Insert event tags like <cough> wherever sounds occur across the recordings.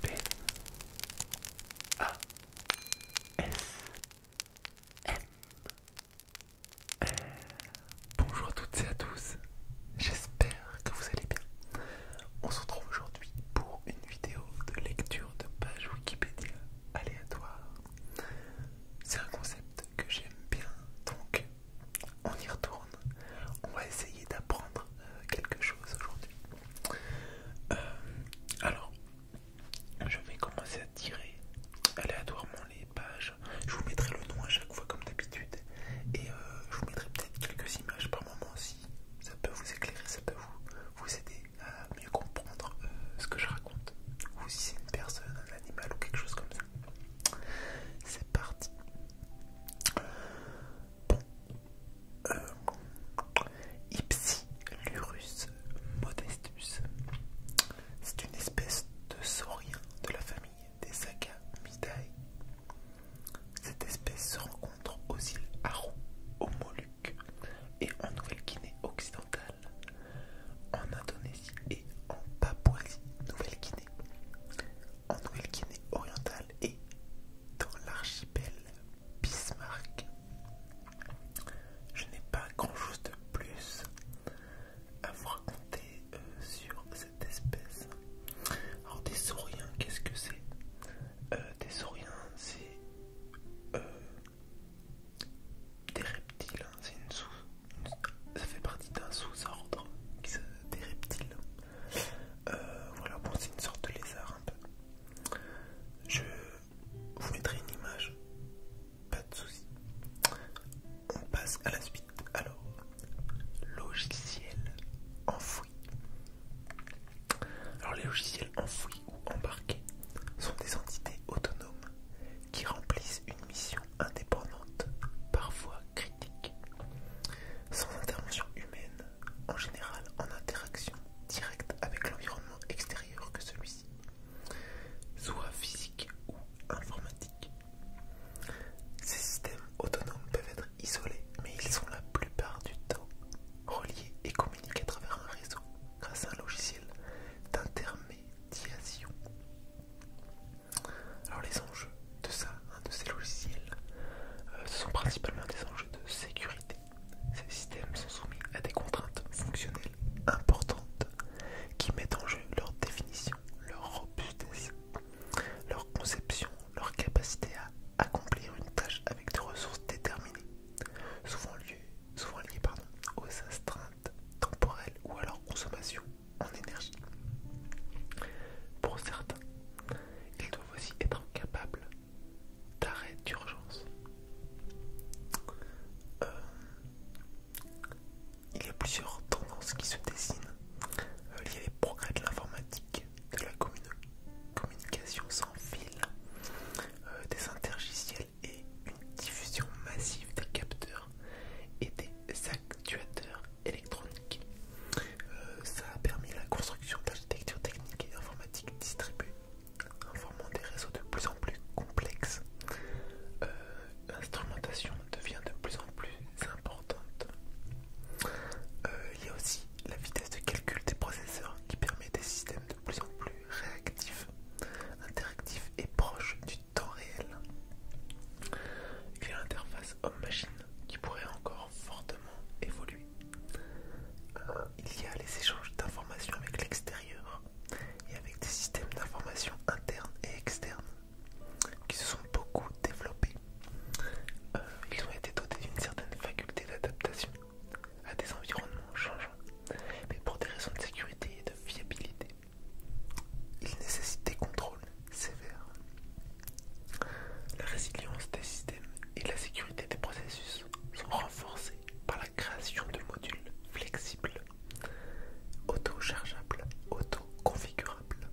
P A S M Bonjour à toutes et à tous, j'espère que vous allez bien. On se retrouve aujourd'hui pour une vidéo de lecture de pages Wikipédia aléatoire. C'est un concept que j'aime bien, donc on y retourne. On va essayer d'apprendre euh, quelque chose aujourd'hui. Euh, alors, je vais commencer à tirer aléatoirement les pages. Je vous mettrai le nom à chaque fois, comme d'habitude. Et euh, je vous mettrai peut-être quelques images par moment aussi, ça peut vous éclairer, ça peut vous, vous aider à mieux comprendre euh, ce que je raconte. Ou si c'est une personne, un animal ou quelque chose comme ça. C'est parti bon euh, Ipsilurus modestus. C'est une espèce de saurien de la famille des Sagamidae. Cette espèce se rencontre aux îles Aru, aux Moluques et en Nouvelle-Guinée occidentale, en Indonésie et en Papouasie-Nouvelle-Guinée, en Nouvelle-Guinée orientale et dans l'archipel Bismarck. Je n'ai pas grand-chose de plus à vous raconter euh, sur cette espèce. Alors des sauriens, qu'est-ce que c'est euh, Des sauriens, c'est euh, des reptiles. Hein. C'est une sous, ça fait partie d'un sous-ordre des reptiles. Euh, voilà, bon, c'est une sorte de lézard un peu. Je vous mettrai une image, pas de soucis. On passe à la suite. Alors, logiciel enfoui. Alors, les logiciels enfouis ou embarqués sont des entités autonomes qui remplissent une mission indépendante, parfois critique, sans intervention humaine en général en interaction directe avec l'environnement extérieur que celui-ci, soit physique ou informatique. Ces systèmes autonomes peuvent être isolés, mais ils sont la plupart du temps reliés et communiqués à travers un réseau grâce à un logiciel d'intermédiation. Alors les enjeux de ça, hein, de ces logiciels, euh, ce sont principalement des enjeux de sécurité. Ces systèmes sont soumis à des contraintes fonctionnelles importantes qui mettent en jeu leur définition, leur robustesse, leur conception, leur capacité à accomplir une tâche avec des ressources déterminées, souvent, souvent liées pardon, aux astreintes temporelles ou à leur consommation en énergie. Pour certains, ils voici être capable d'arrêt d'urgence. Euh, il y a plusieurs tendances qui se dessinent. il y a les progrès de l'informatique, de la communication sans fil, euh, des intergiciels et une diffusion massive des capteurs et des actuateurs électronique. Euh, ça a permis la construction d'architectures techniques et informatiques distribuées, formant des réseaux de plus en plus complexes. Euh, l'instrumentation devient de plus en plus importante. Euh, il y a aussi la vitesse de calcul des processeurs qui permet des systèmes de plus en plus réactifs, interactifs et proches du temps réel. Il y a l'interface homme-machine qui pourrait encore fortement évoluer. Euh, il y a les échanges d'informations avec l'extérieur et avec des systèmes d'information internes et externes qui se sont beaucoup développés. Euh, ils ont été dotés d'une certaine faculté d'adaptation à des environnements changeants, mais pour des raisons de sécurité et de fiabilité, ils nécessitent des contrôles sévères. La résilience des systèmes et la sécurité des processus sont renforcés par la création de modules flexibles, auto-chargeables, auto-configurables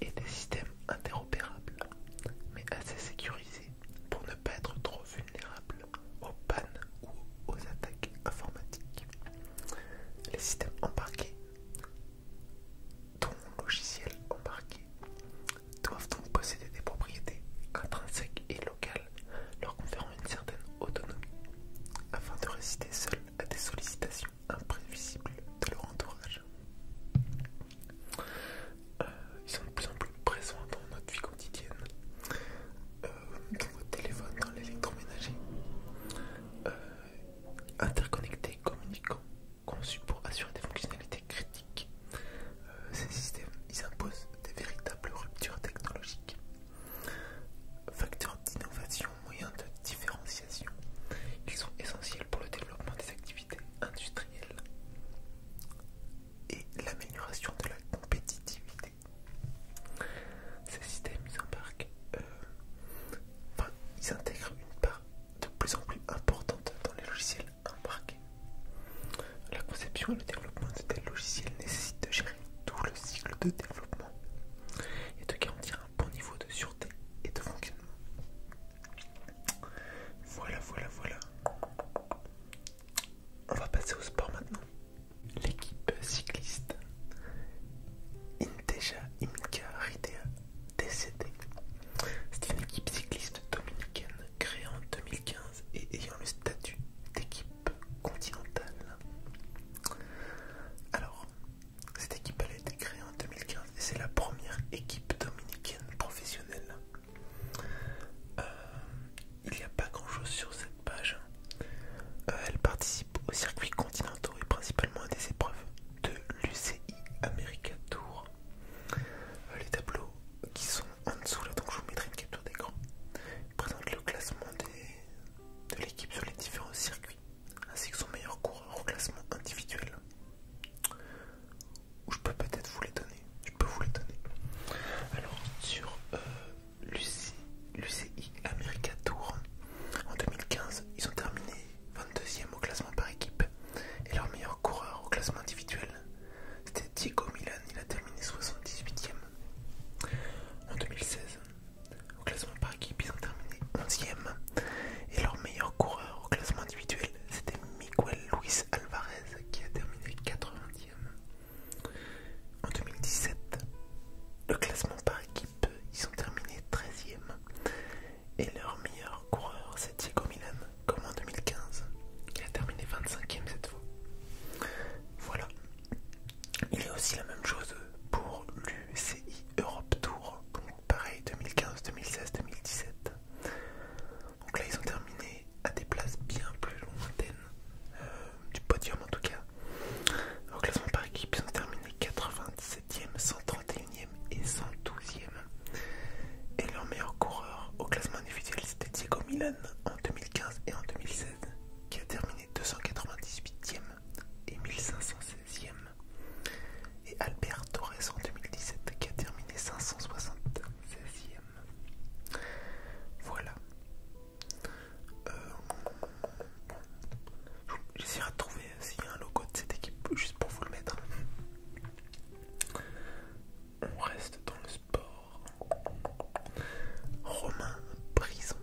et des systèmes interopérables, mais assez sécurisés pour ne pas être trop vulnérables aux pannes ou aux attaques informatiques. Les systèmes embarqués dont logiciels logiciel embarqué doivent donc posséder des propriétés intrinsèques et locales leur conférant une certaine autonomie afin de résister seuls à des sollicitations imprévisibles de leur entourage. Euh, ils sont de plus en plus présents dans notre vie quotidienne, euh, dans nos téléphone, dans l'électroménager, euh, interconnectés, communicants conçus pour assurer des fonctionnalités critiques. Euh, ces systèmes, ils imposent des véritables ruptures technologiques. Facteurs d'innovation, moyens de différenciation, qui sont essentiels pour le développement des activités industrielles et l'amélioration de la compétitivité. Ces systèmes, ils embarquent, euh, enfin, ils intègrent une part de plus en plus importante dans les logiciels embarqués. La conception et le développement de tels logiciels nécessitent de gérer tout le cycle de développement et de garantir un bon niveau de sûreté et de fonctionnement. Voilà, voilà, voilà. On va passer au sport maintenant. L'équipe cycliste Inteja Imka Ridea c'est une équipe cycliste dominicaine créée en 2015 et ayant le statut d'équipe continentale. Alors, cette équipe a été créée en 2015 et c'est la première équipe dominicaine professionnelle. Euh, il n'y a pas grand chose sur cette page. Euh, elle participe aux circuits continentaux et principalement à des épreuves de l'UCI America Tour euh, les tableaux qui sont en dessous là, donc je vous mettrai une capture d'écran. présente le classement de l'équipe sur les différents circuits, ainsi que son meilleur coureur au classement individuel. Où je peux peut-être vous les donner. Je peux vous les donner. Alors sur euh, l'UCI America Tour en 2015, ils ont terminé 22e au classement par équipe, et leur meilleur coureur au classement individuel, c'était Diego Milan, il a terminé 78e. En 2016, au classement par équipe, ils ont terminé 11e, et leur meilleur coureur au classement individuel, c'était Miguel Luis Alvarez, qui a terminé 80e. En 2017, le classement par équipe, ils ont terminé 13e et leur meilleur coureur c'est Diego Milan, comme en 2015. qui a terminé 25 e cette fois. Voilà. Il est aussi la même chose pour l'UCI Europe Tour, donc pareil 2015, 2016, 2017. Donc là ils ont terminé à des places bien plus lointaines, euh, du podium en tout cas. Au classement par équipe, ils ont terminé 97. 131e et 112e. Et leur meilleur coureur au classement individuel, c'était Diego Milan en 2015 et en 2016, qui a terminé 298e et 1516e. Et Albert Torres en 2017, qui a terminé 576e. Voilà. Euh, J'essaierai de trouver s'il y a un logo de cette équipe juste pour vous le mettre. On reste dans le sport. Romain Brison,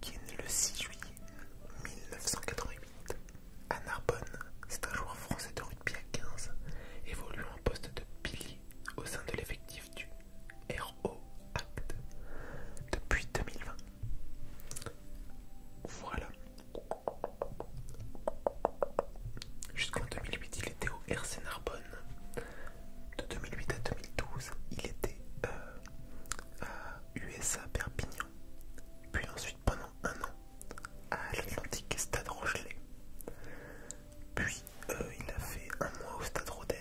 qui est né le 6 juillet 1988 à Narbonne, c'est un joueur français de rugby à 15, évoluant en poste de pilier au sein de l'effectif du RO Act depuis 2020. Voilà, Jusqu'en 2008, il était au RC Narbonne. De 2008 à 2012, il était à euh, euh, USA Perpignan. Puis ensuite, pendant un an, à l'Atlantique Stade Rochelet. Puis, euh, il a fait un mois au Stade Rodez.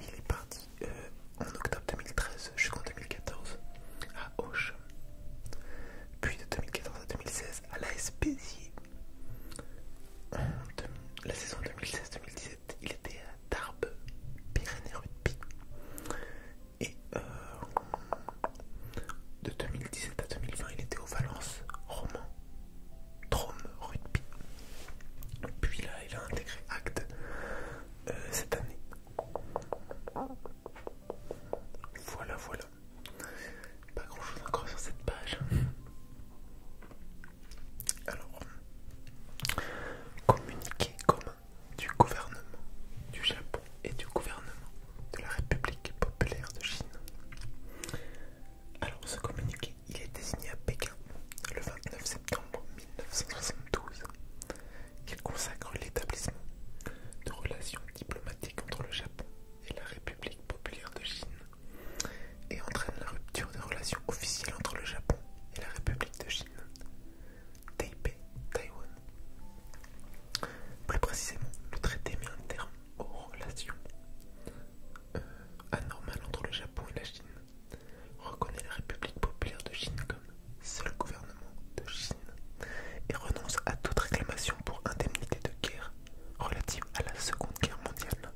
Il est parti en octobre 2013 jusqu'en 2014 à Auch puis de 2014 à 2016 à la Béziers. la saison 2016-2017, il était à Tarbes, Pyrénées Rugby. Et euh, de 2017 à 2020, il était au Valence, Roman, Drôme Rugby. Puis là, il a intégré Acte euh, cette année voilà, voilà. Pas grand chose encore sur cette page. Alors, communiqué commun du gouvernement du Japon et du gouvernement de la République populaire de Chine. Alors, ce communiqué, il est désigné à Pékin le 29 septembre 1972 qu'elle consacre l'établissement de relations diplomatiques entre le Japon et la République populaire de Chine et entraîne la rupture des relations officielles entre le Japon et la République de Chine, Taipei, Taïwan. Plus précisément, le traité met un terme aux relations euh, anormales entre le Japon et la Chine, reconnaît la République populaire de Chine seul gouvernement de Chine et renonce à toute réclamation pour indemnité de guerre relative à la Seconde Guerre mondiale.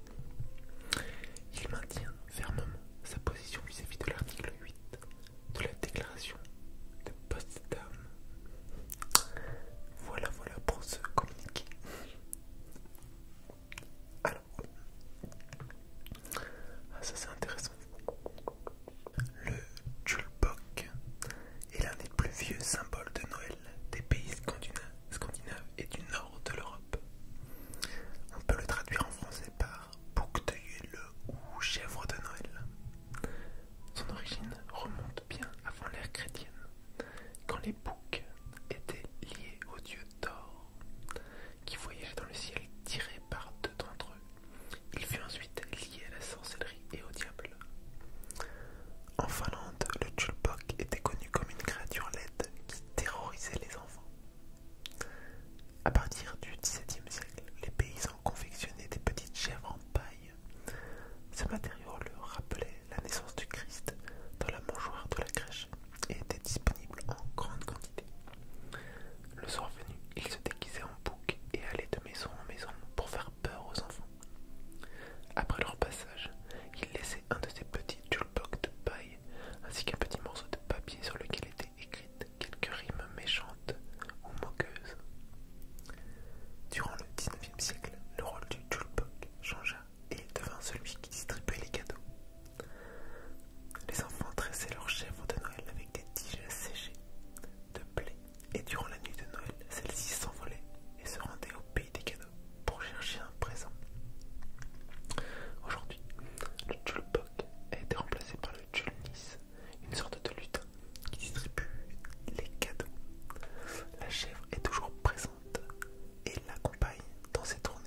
Il maintient fermement sa position vis-à-vis de l'article 8 de la déclaration de Potsdam. Voilà, voilà pour ce communiqué. Alors, ah, ça c'est intéressant. Le tulbok est l'un des plus vieux symboles de Noël des pays scandinaves et du nord de l'Europe. On peut le traduire en français par bouc de Yule ou chèvre de Noël. Son origine remonte bien avant l'ère chrétienne, quand les boucs étaient liés au dieu Thor, qui voyageait dans le ciel tiré par deux d'entre eux. Il fut ensuite lié à la sorcellerie et au diable. En Finlande, le Chulpok était connu comme une créature laide qui terrorisait les enfants. À partir du XVIIe siècle, les paysans confectionnaient des petites chèvres en paille. Ce matériau leur rappelait la naissance du Christ dans la mangeoire de la crèche et était disponible en grande quantité. Le soir venu, ils se déguisaient en et allait de maison en maison pour faire peur aux enfants. Après leur passage, il laissait un de ces petits tulboks de paille ainsi qu'un petit morceau de papier sur lequel étaient écrites quelques rimes méchantes ou moqueuses. Durant le XIXe siècle, le rôle du tulbok changea et il devint celui qui distribuait les cadeaux. Les enfants tressaient leurs chèvres de Noël avec des tiges séchées, de blé, et durant la nuit de Noël, celle-ci s'envolait et se rendait au pays des cadeaux pour chercher un présent. Aujourd'hui, le Tchulbok a été remplacé par le Tchulnis, une sorte de lutin qui distribue les cadeaux. La chèvre est toujours présente et l'accompagne dans ses tournées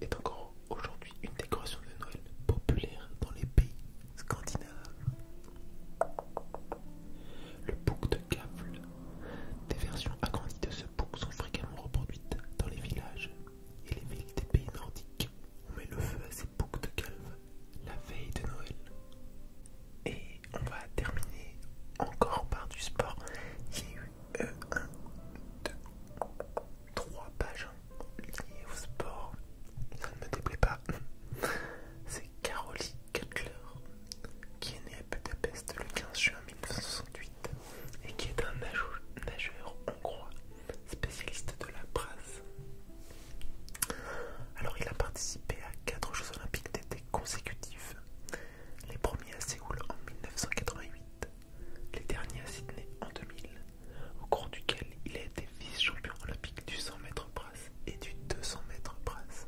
est encore aujourd'hui une décoration de Noël populaire dans les pays scandinaves. Le bouc de Kavl. Des versions agrandies de ce bouc sont fréquemment reproduites dans les villages et les villes des pays nordiques. On met le feu à ces boucs de Kavl la veille de Noël. Et on va terminer encore par du sport. a eu euh, un, deux, trois pages hein. Lié au sport, ça ne me déplaît pas. <laughs> C'est Caroline Cutler, qui est né à Budapest le 15 juin 1968 et qui est un nageur, hongrois spécialiste de la brasse. Alors il a participé à quatre Jeux olympiques d'été consécutifs, les premiers à Séoul en 1988 les derniers à Sydney en 2000, au cours duquel il a été vice-champion olympique du 100 m brasse et du 200 m brasse.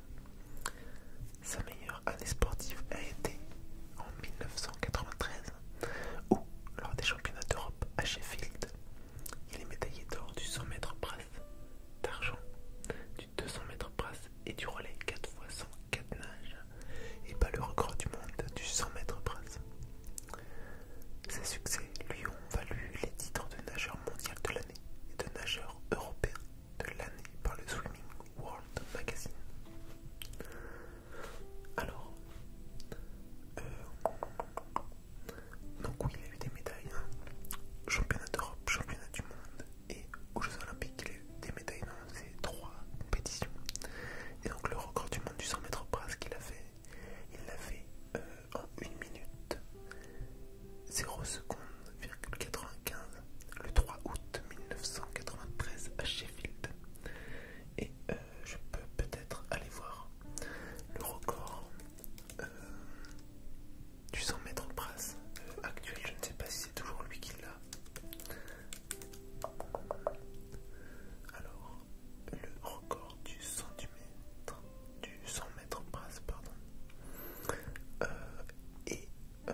Sa meilleure année sportive a été en 1993, où, lors des championnats d'Europe à Sheffield, il est médaillé d'or du 100 mètres brasse, d'argent, du 200 mètres brasse et du relais 4 x 100 4 nages, et bat le record du monde du 100 m brasse. Ses succès lui ont valu les titres de nageur mondial de l'année et de nageur européen de l'année par le Swimming World Magazine. Alors, euh, donc oui, il a eu des médailles, hein. championnat d'Europe, championnat du monde et aux Jeux Olympiques, il a eu des médailles dans ces trois compétitions. Et donc le record du monde du 100 mètres brasse qu'il a fait, il l'a fait euh, en 1 minute 0 secondes 95 le 3 août 1993 à Sheffield. Et euh, je peux peut-être aller voir le record euh, du 100 mètres brasse actuel. Je ne sais pas si c'est toujours lui qui l'a. Alors, le record du centimètre, du 100 mètres passe, pardon, euh, et euh,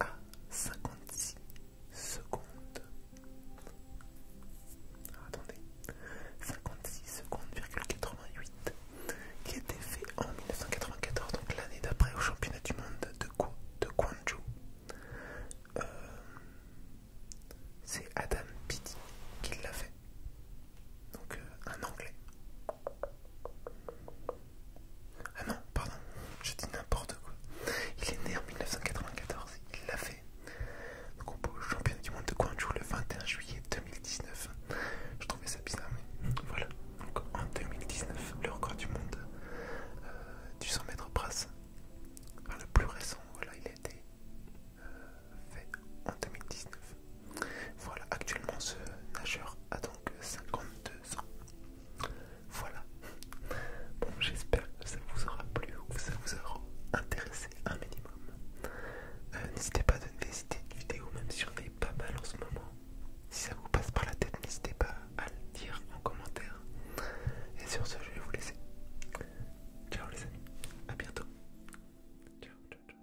à 56 secondes. Ah, attendez, 56 secondes 88 qui était fait en 1994, donc l'année d'après au championnat du monde de, de Guangzhou. Euh, c'est Adam Peaty qui l'a fait. Donc euh, un anglais. Ah non, pardon, je dis n'importe quoi. Il est né en 1994, il l'a fait. Donc on peut au championnat du monde de Guangzhou le 21 juillet 2019. Je trouvais ça bizarre, mais voilà. Donc en 2019, le record du monde euh, du 100 mètres brasse le plus récent, voilà, il a été euh, fait en 2019. Voilà, actuellement ce nageur a donc 52 ans. Voilà. Bon, j'espère que ça vous aura plu ou que ça vous aura intéressé un minimum. Euh, n'hésitez pas à donner des idées de vidéos, même si des pas mal en ce moment. Si ça vous passe par la tête, n'hésitez pas à le dire en commentaire. Et sur ce, je vais vous laisser. Ciao les amis, à bientôt. Ciao, ciao, ciao.